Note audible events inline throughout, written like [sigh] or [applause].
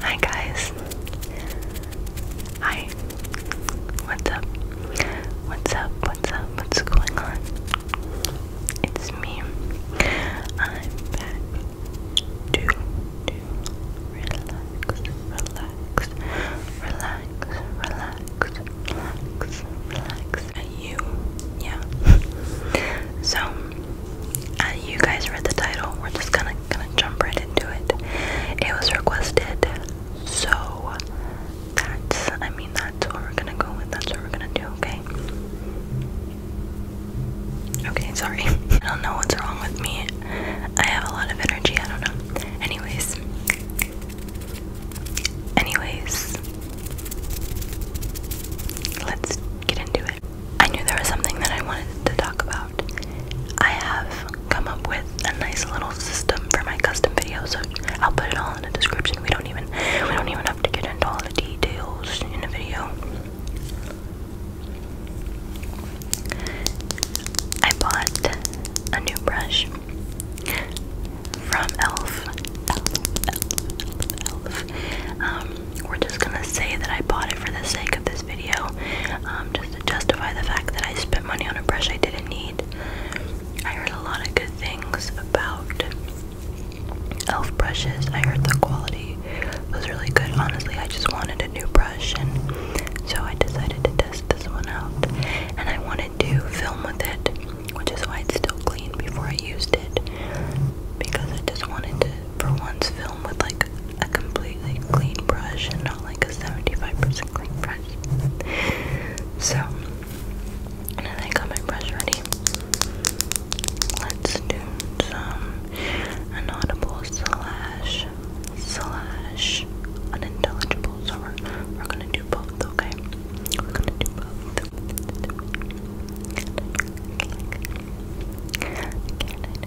Hi guys. Hi. What's up? What's up? What's up? What's going on? It's me. I'm back to, relax, relax, relax, relax, relax, relax. you? Yeah. so uh, you guys read the title. We're just gonna gonna jump right into it. It was requested, so that's I mean that's what we're gonna go with. That's what we're gonna do. Okay. Okay, sorry. [laughs] I don't know what's wrong with me. I have a lot of energy. I don't know. Anyways. Anyways. Let's get into it. I knew there was something that I wanted to talk about. I have come up with a nice little system for my custom videos, so I'll put it all in the description. We don't even we don't even have to get into all the details in the video. I bought a new brush from Elf. Um, we're just gonna say that I bought it for the sake of this video, um, just to justify the fact that I spent money on a brush I didn't need. I heard a lot of good things about elf brushes. I heard the quality was really good. Honestly, I just wanted a new brush, and so I decided to test this one out. And I wanted to film with it, which is why it's still clean before I used it, because I just wanted to for once film with like a completely clean brush and not like a 75% clean brush. So, and I got my brush ready. Let's do some inaudible slash slash unintelligible. So we're, we're gonna do both, okay? We're gonna do both.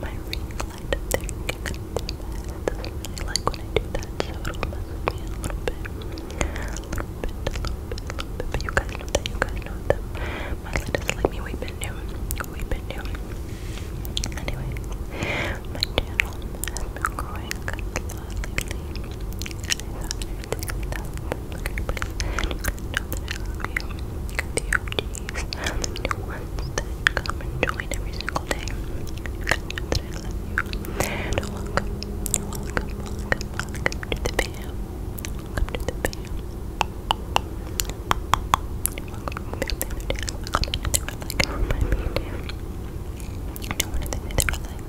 my ring light up there and get like when I do that, so a little bit. A little bit, a little bit, a little bit. But you guys know that, you guys know that. My light is like me, we've been new. We've been new. Anyway, my channel has growing a know that you, the OGs, and the new come and join every single day. You guys welcome, welcome, welcome, welcome to the fam. Welcome to the fam. Welcome want to think that they were like,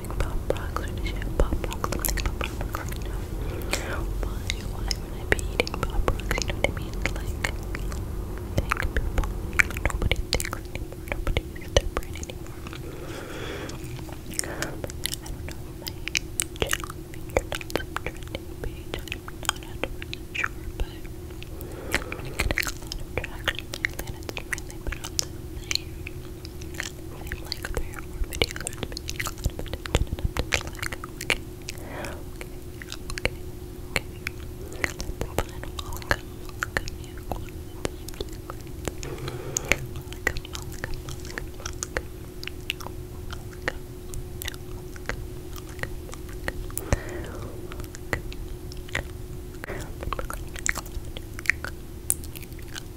like pop rocks or did you pop rocks? Something pop rocks, Why, why I be eating pop rocks? You know what mean? Like, thank people. Nobody thinks anymore. Nobody anymore. I don't know my channel featured trending page. I'm not sure, but I'm getting a lot of traction lately and I'd like three or more videos or something. Okay, okay, okay, okay. That's fine. Welcome, welcome you. Welcome, welcome, welcome, welcome, welcome. Welcome, no, welcome, welcome, welcome. Welcome. Welcome.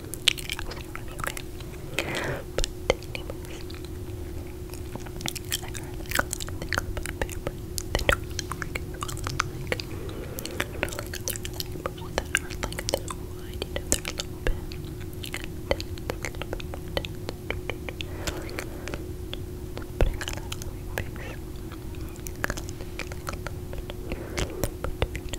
okay. But anyways, I heard like a lot of things about bear brands. They don't really work as well as like, I don't know, like other eyebrows that are like this wide, you know, they're a little bit dense, a little bit more dense. Like, putting a lot on my face. Kind of like a little bit, a little bit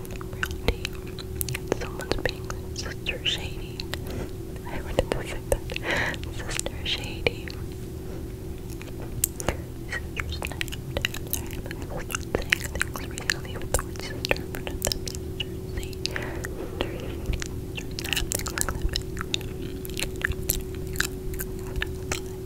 Someone's being Sister Shady. I wanted to say that. Sister Shady. Sister Snapped. Sorry, but sister saying things recently with sister in Sister Shady. Sister Snap.